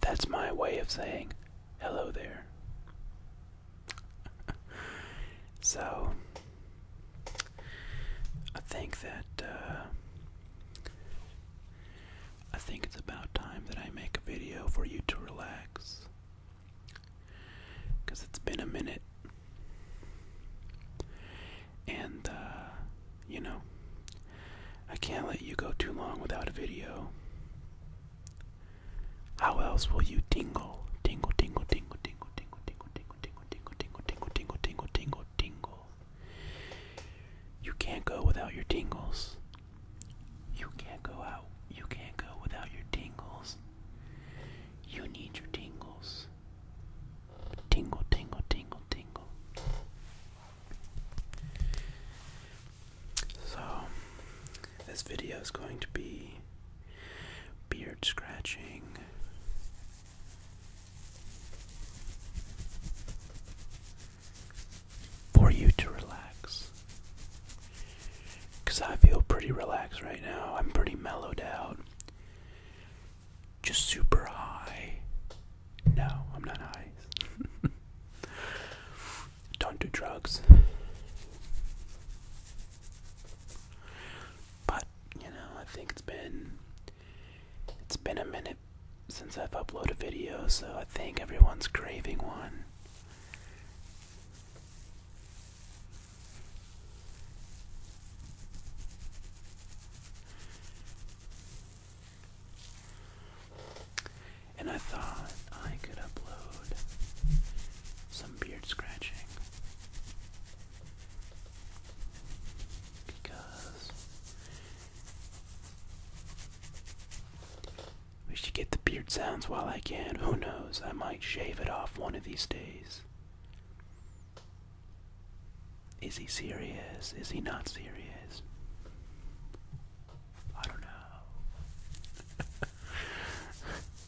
That's my way of saying hello there. so I think that uh, I think it's about time that I make a video for you to relax because it's been a minute and uh, you know I can't let you go too long without a video. How else will you tingle, tingle, tingle, tingle, tingle, tingle, tingle, tingle? tingle, tingle, tingle, tingle, tingle, tingle, tingle, tingle, You can't go without your tingles. You can't go out. You can't go without your tingles. You need your tingles. Tingle, tingle, tingle, tingle. So, this video is going to be beard scratching. For you to relax. Because I feel pretty relaxed right now. I'm pretty mellowed out. Just super high. No, I'm not high. Don't do drugs. But you know, I think it's been it's been a minute since I've uploaded a video, so I think everyone's craving one. And I thought I could upload beard scratching because we should get the beard sounds while I can. Who knows? I might shave it off one of these days. Is he serious? Is he not serious? I don't know.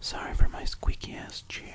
Sorry for my squeaky ass chair.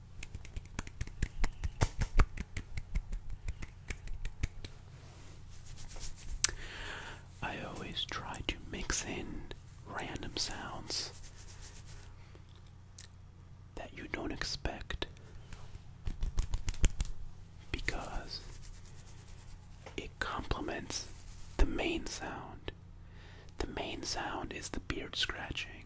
I always try to mix in random sounds that you don't expect because it complements the main sound. The main sound is the beard scratching.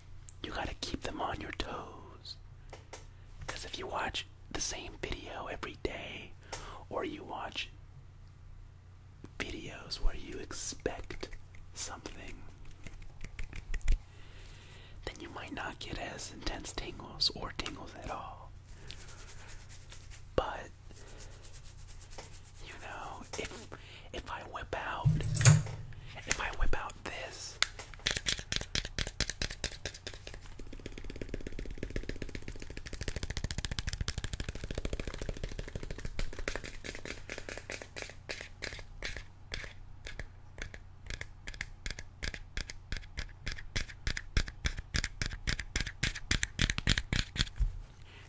you gotta keep them on your toes. Because if you watch the same video every day, or you watch videos where you expect something, then you might not get as intense tingles or tingles at all. But you know, if if I whip out if I whip out this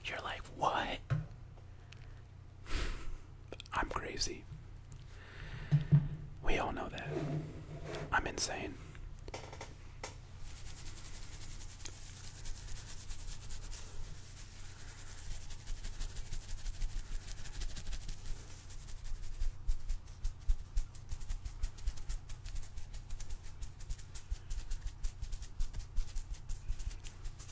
you're like, what? I'm crazy. We all know that. I'm insane.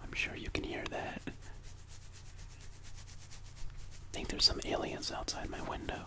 I'm sure you can hear that. I think there's some aliens outside my window.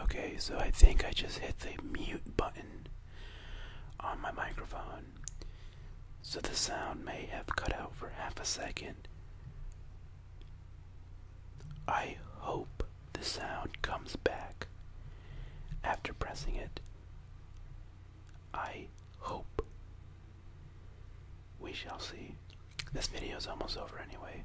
Okay, so I think I just hit the mute button on my microphone. So the sound may have cut out for half a second. I hope the sound comes back after pressing it. I hope. We shall see. This video is almost over anyway.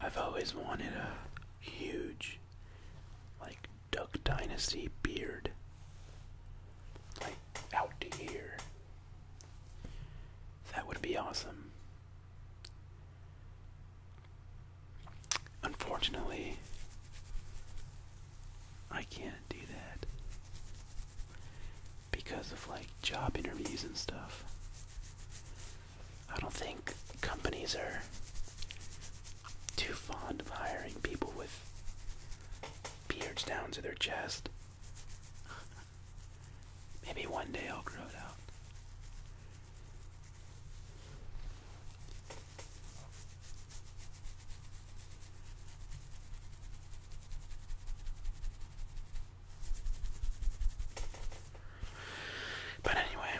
I've always wanted a huge, like, Duck Dynasty beard. Like, out here. That would be awesome. Unfortunately, I can't do that because of like job interviews and stuff. I don't think companies are too fond of hiring people with beards down to their chest. Maybe one day I'll grow it out. But anyway,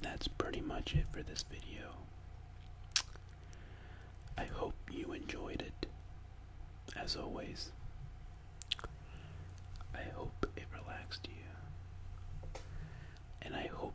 that's pretty much it for this video. I hope you enjoyed it, as always. I hope it relaxed you, and I hope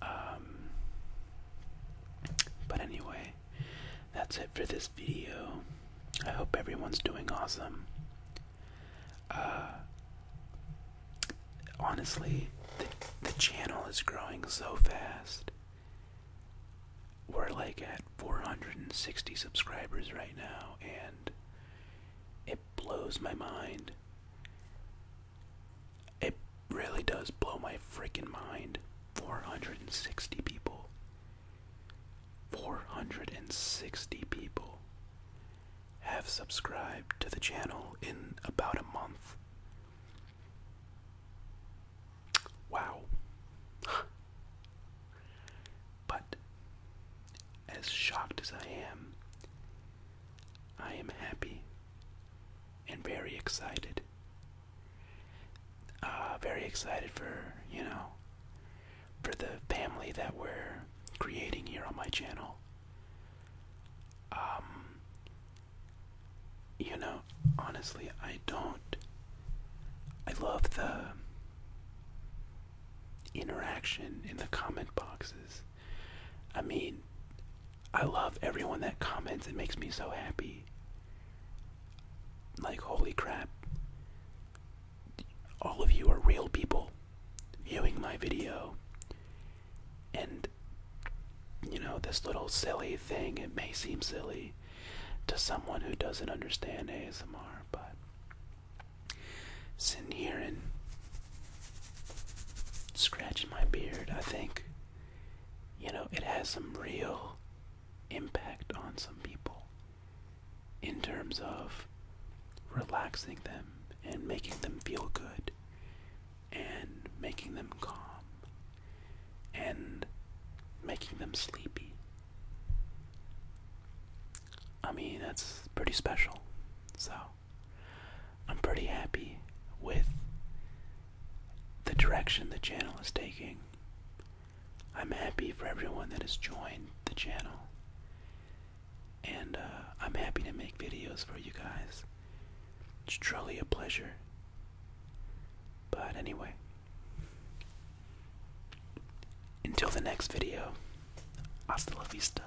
Um, but anyway, that's it for this video. I hope everyone's doing awesome. Uh, honestly, the channel is growing so fast. We're like at 460 subscribers right now, and it blows my mind. It really does blow my freaking mind. 460 people. 460 people have subscribed to the channel in about a month. Wow. but as shocked as I am I am happy and very excited. Uh, very excited for, you know, for the family that we're creating here on my channel. Um, you know, honestly, I don't. I love the interaction in the comment boxes I mean, I love everyone that comments. It makes me so happy. Like, holy crap. All of you are real people viewing my video. And, you know, this little silly thing, it may seem silly to someone who doesn't understand ASMR, but sitting here and scratching my beard, I think you know, it has some real impact on some people in terms of relaxing them and making them feel good and making them calm and making them sleepy. I mean, that's pretty special. So. I'm pretty happy with the direction the channel is taking. I'm happy for everyone that has joined the channel. And uh, I'm happy to make videos for you guys. It's truly a pleasure. But anyway, until the next video, hasta la vista.